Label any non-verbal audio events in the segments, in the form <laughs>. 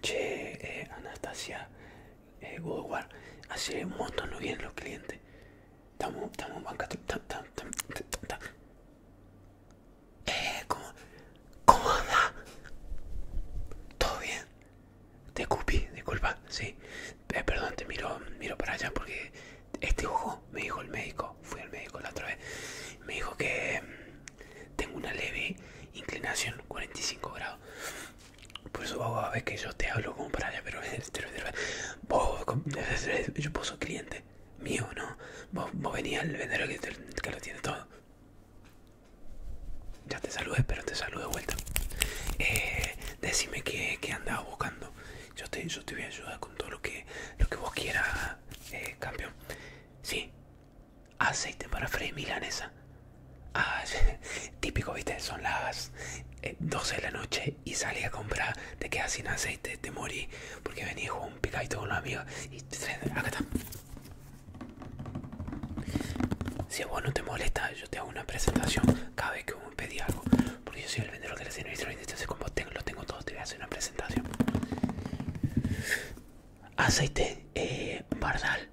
Che, eh, Anastasia, Hugo, eh, así hace un montón no bien los clientes. Estamos, estamos banca, Eh, ¿cómo, ¿cómo anda? ¿Todo bien? Te cupi, disculpa, sí. Eh, perdón, te miro, miro para allá porque este ojo me dijo el médico, fui al médico la otra vez, me dijo que tengo una leve inclinación 45 grados por eso a ver que yo te hablo como para allá pero <laughs> vos <laughs> yo vos cliente mío no vos, venías el al vendedor que, lo tiene todo ya te saludé pero te saludo de vuelta eh, decime que, andabas andaba buscando yo te, yo te voy a ayudar con todo lo que lo que vos quieras eh, cambio sí aceite para freír milanesa. Ah, <laughs> típico, viste, son las 12 eh, de la noche y salí a comprar, te quedas sin aceite, te morí, porque venía con un picadito con los amigos y acá está. Si vos no te molesta, yo te hago una presentación cada vez que me pedí algo, porque yo soy el vendedor que y sirve, entonces como tengo, lo tengo todo, te voy a hacer una presentación aceite eh, bardal,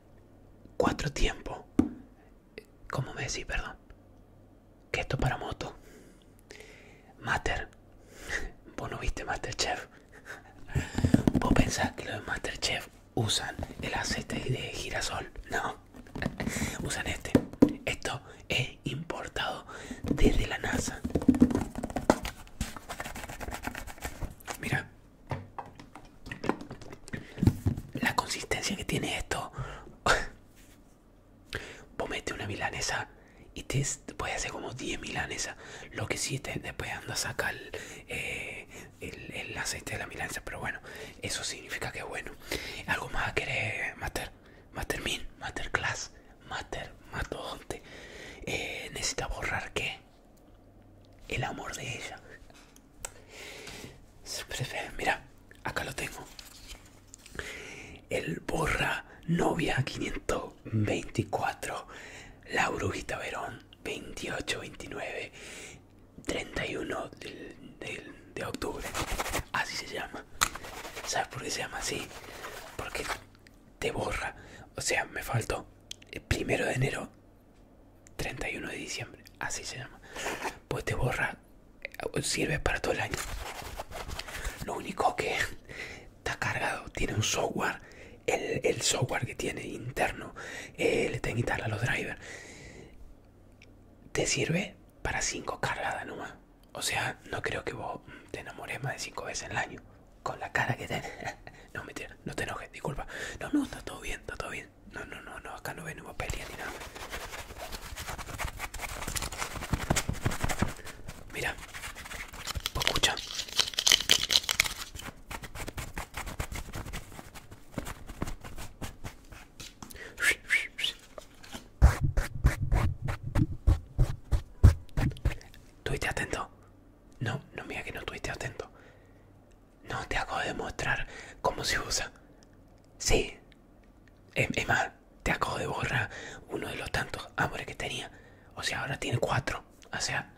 cuatro tiempos. como me decís, perdón? Que esto para moto. Master. <laughs> Vos no viste Masterchef. <laughs> Vos pensás que los Master Chef usan el aceite de girasol. No. <laughs> Usan este. Esto es importado desde la NASA. Mira. La consistencia que tiene esto. <laughs> Vos mete una milanesa y te puedes hacer como 10 milanesas. Lo que sí, te, después anda a sacar eh, el, aceite de la milanesa. Pero bueno, eso significa que es bueno. ¿Algo más a querer, Master? master Masterclass, Master, Mastodonte. Eh, ¿Necesita borrar qué? el amor de ella. Mira, acá lo tengo. El borra novia 524. La brujita Verón 28-29. 31 de octubre. Así se llama. ¿Sabes por qué se llama así? Porque te borra. O sea, me faltó el eh, primero de enero, 31 de diciembre, así se llama. Pues te borra, eh, sirve para todo el año. Lo único que está cargado, tiene un software, el, software que tiene interno, eh, le tengo que instalar los drivers. Te sirve para 5 cargadas más. O sea, no creo que vos te enamores más de 5 veces en el año con la cara que te... <laughs> No, mentira, no te enojes, disculpa. No, no, está todo bien, está todo bien. No, no, no, no, acá no ven ninguna pelea ni nada. Mira, Tú escucha. Tuviste atento. No, no mira que no estuviste atento. No, te acabo de mostrar cómo se usa. Sí. Es, más, te acabo de borrar uno de los tantos amores que tenía. O sea, ahora tiene cuatro. O sea,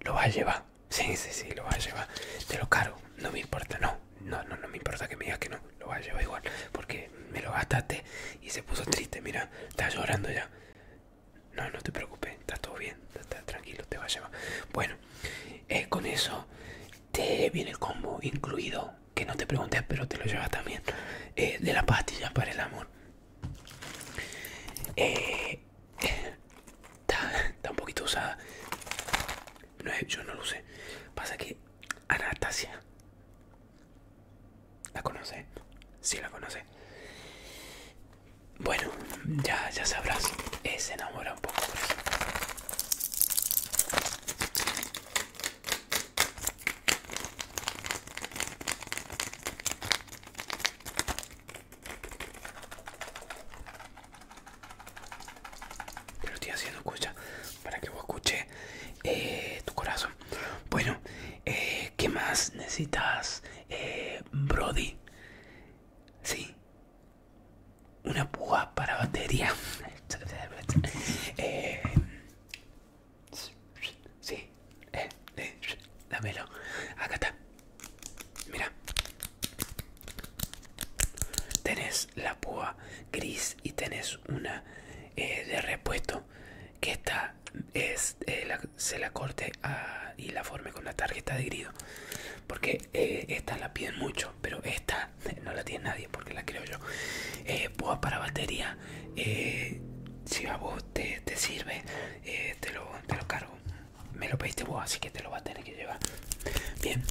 lo vas a llevar. Sí, sí, sí, lo vas a llevar. Te lo cargo. No me importa, no. No, no, no me importa que me digas que no. Lo vas a llevar igual. Porque me lo gastaste y se puso triste. Mira, está llorando ya. No, no te preocupes, está todo bien, está tranquilo, te va a llevar. Bueno, eh, con eso te viene como incluido, que no te preguntes pero te lo llevas también, eh, de la pastilla para el amor. Eh, está, un poquito usada. No, yo no lo sé Pasa que Anastasia ¿La conoce? Sí, la conoce. Bueno, ya, ya sabrás. es enamora un poco pues. lo estoy haciendo escucha para que vos escuche eh, tu corazón. Bueno, eh, ¿qué más necesitas? eh, Brody. Sí. Una púa para batería. <laughs> Eh, sí. dame eh, eh, dámelo. Acá está. Mira. Tenés la púa gris y tenés una de repuesto que está es, eh, se la corte y la forme con la tarjeta de grido porque eh, esta la piden mucho pero esta <laughs> no la tiene nadie porque la creo yo eh, boa para batería si a vos te, te sirve te, lo, cargo me lo pediste vos así que te lo va a tener que llevar bien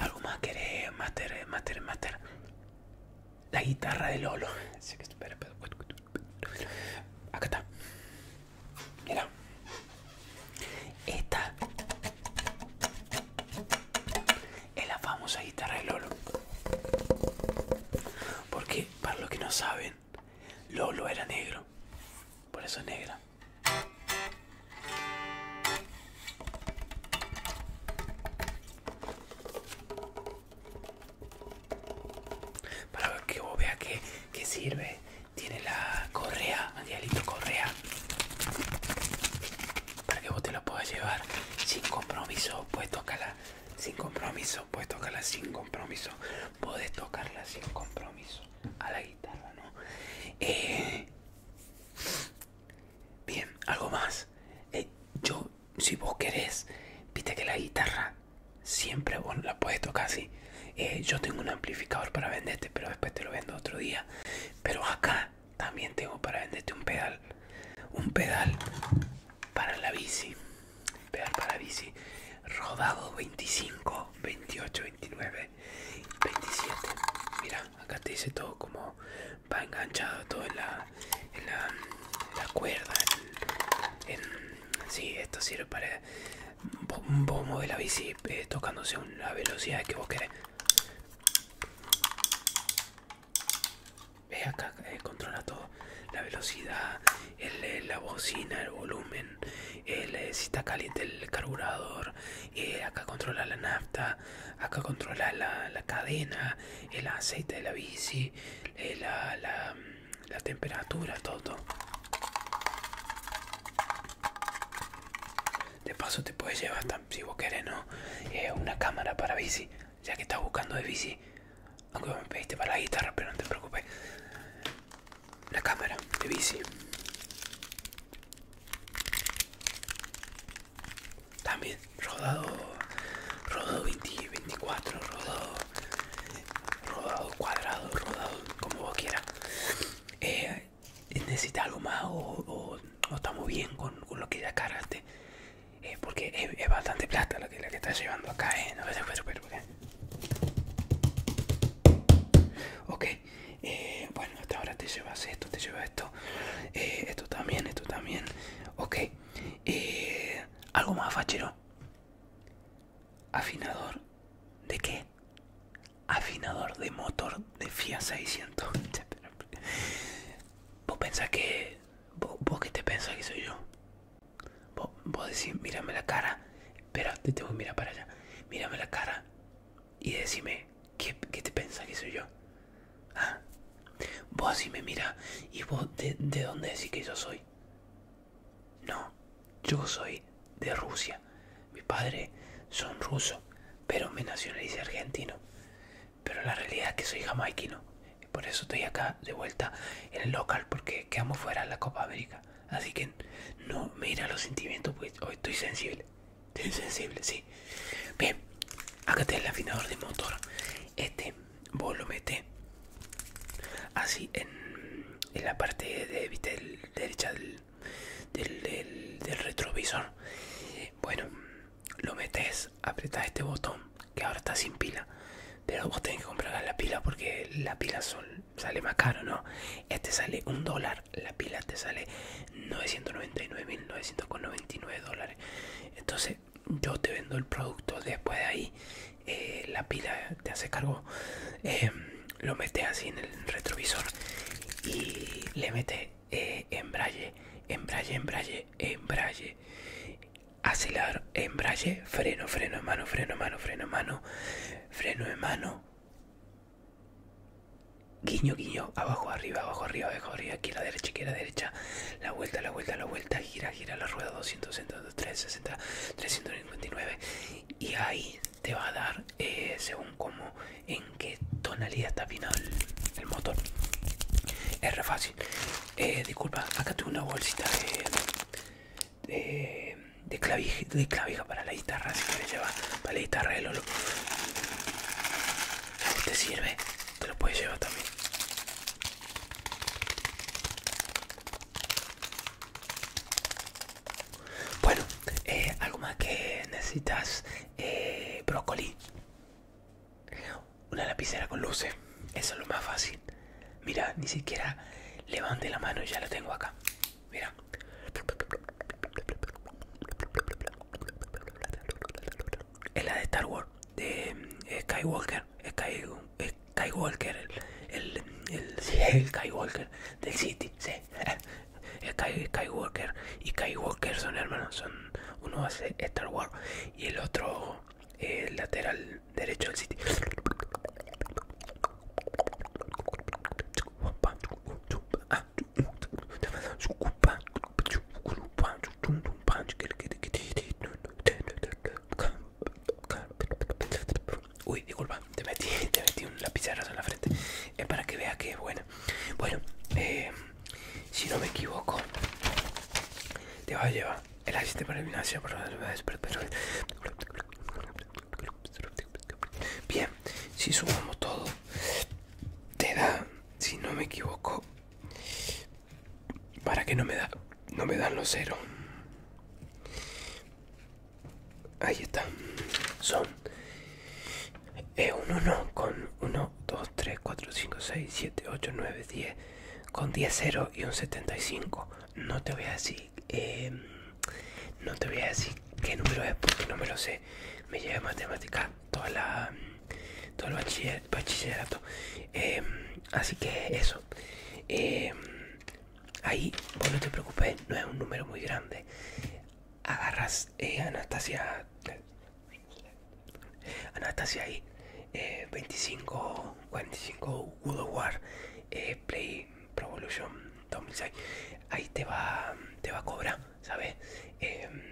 algo más querés master master la guitarra de lolo <laughs> Acá está. Mira. Esta es la famosa guitarra de Lolo. Porque, para los que no saben, Lolo era negro. Por eso negra. Para que vos veas que, sirve. Tiene la correa, Angelito Correa. Para que vos te la puedas llevar sin compromiso. Puedes tocarla sin compromiso. Puedes tocarla sin compromiso. puedes tocarla sin compromiso. A la guitarra, ¿no? Eh, bien, algo más. Eh, yo si vos querés, viste que la guitarra siempre la puedes tocar así. Eh, yo tengo un amplificador para venderte, pero después te lo vendo otro día. Pero acá también tengo para venderte un pedal. Un pedal para la bici. Pedal para bici. Rodado 25, 28, 29, 27. Mira, acá te dice todo como va enganchado, todo en la, cuerda, si esto sirve para bombo de la bici eh, tocándose a una velocidad que vos querés. Ve acá, eh, controla todo. La velocidad, eh, la bocina, el volumen, si está caliente el carburador, acá controla la nafta, acá controla la, cadena, el aceite de la bici, la la temperatura, todo. De paso te puedes llevar, si vos querés, ¿no? Eh, una cámara para bici, ya que estás buscando de bici. Aunque me pediste para la guitarra, pero no te preocupes. Una cámara de bici. También rodado, rodado 20, 24, rodado rodado, cuadrado, rodado, como vos quieras. Eh, ¿Necesitas algo más o, estamos bien con, lo que ya cargaste? Eh, porque es, bastante plata la que, estás llevando acá, ¿eh? Ok, eh, bueno, hasta ahora te llevas esto, te llevas esto, esto también, esto también. Ok, algo más fachero. Afinador de qué? Afinador de motor de FIA 600. <laughs> Vos pensás que. ¿Vos, que te pensa que soy yo? Vos, vos decís, mírame la cara. Espera, te tengo que mirar para allá. Mírame la cara y decime, que te pensa que soy yo? Ah. vos así me mira y vos de, de dónde decís que yo soy. No, yo soy de Rusia. Mis padres son rusos, pero me nacionalicé argentino. Pero la realidad es que soy jamaiquino. por eso estoy acá de vuelta en el local, porque quedamos fuera de la Copa América. Así que no me los sentimientos, pues hoy estoy sensible. Estoy sensible, sí. Bien, acá está el afinador de motor. Este vos lo metes. así en, la parte de, derecha del, retrovisor. Bueno, lo metes, apretás este botón que ahora está sin pila. Pero vos tenés que comprar la pila porque la pila son, sale más caro, ¿no? Este sale un dólar, la pila te sale 999.999 dólares. Entonces yo te vendo el producto después de ahí eh, la pila te hace cargo eh, lo metes así en el retrovisor y le metes eh, embrague embrague embrague embrague acelerar embrague freno freno en mano freno mano freno mano freno en mano guiño guiño abajo arriba abajo arriba abajo arriba aquí la derecha aquí la derecha la vuelta la vuelta la vuelta gira gira la rueda 260 360 359 y ahí te va a dar eh, según como en qué tonalidad está final el, motor es re fácil eh, disculpa acá tengo una bolsita de, clavija, de clavija para la guitarra si quieres llevar para la guitarra de Lolo te sirve te lo puedes llevar también bueno, eh, algo más que necesitas, eh, brócoli, una lapicera con luces, eso es lo más fácil. Mira, ni siquiera levante la mano y ya la tengo acá. Mira. Es la de Star Wars, de eh, Skywalker, Sky el Skywalker, el, el, el, <laughs> sí, el Skywalker del City, sí. <laughs> kai walker, y walker son hermanos, son uno hace Star Wars y el otro eh, el lateral derecho del City. Uy, disculpa, te metí, <laughs> te metí en la frente. Es para que veas que es buena. Bueno, eh, si no me equivoco, te va a llevar el asiste para el gimnasio. Bien, si sumamos todo, te da, si no me equivoco, para que no me da, no me dan los cero. Ahí están Son es eh, un 1 con 1, 2, 3, 4, 5, 6, 7, 8, 9, 10. Con 10 0 y un 75. No te voy a decir. Eh, no te voy a decir qué número es porque no me lo sé. Me lleva matemática toda la, todo el bachillerato. Em, así que eso em, ahí no te preocupes no es un número muy grande agarras eh, Anastasia Anastasia ahí 25 eh, 45 War eh, Play Provolution 2006 ahí te va te va a cobrar sabes em,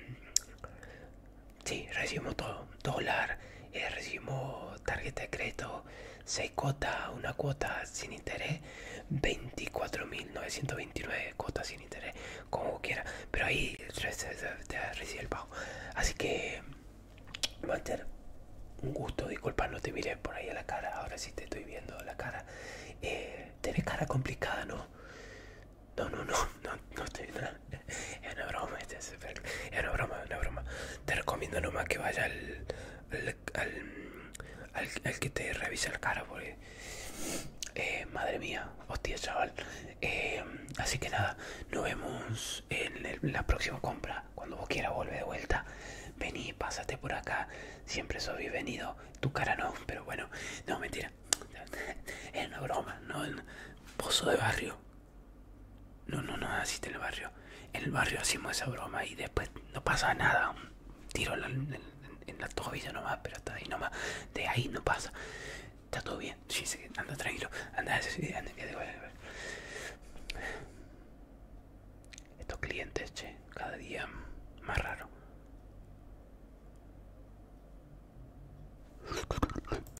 Sí, recibimos todo. Dólar, eh, recibimos tarjeta de crédito, 6 cuotas, una cuota sin interés, 24.929 cuotas sin interés, como quiera. Pero ahí te recibe el pago. Así que, ser un gusto, disculpa, no te miré por ahí a la cara. Ahora sí te estoy viendo la cara. Eh, cara complicada, ¿no? No, no, no no, no estoy nada. Es una broma, este es, una broma, es una broma. Te recomiendo nomás que vayas al que te revisa el cara, porque. Eh, madre mía, hostia, chaval. Eh, así que nada, nos vemos en la próxima compra. Cuando vos quieras, vuelve de vuelta. Vení, pásate por acá. Siempre soy bienvenido. Tu cara no, pero bueno, no, mentira. Es una broma, no, pozo de barrio. No, no, no, así en el barrio. En el barrio hacemos esa broma y después no pasa nada. Un tiro en la, en, nomás, pero hasta ahí nomás. De ahí no pasa. Está todo bien. anda tranquilo. Anda, anda, anda, Estos clientes, che, cada día más raro.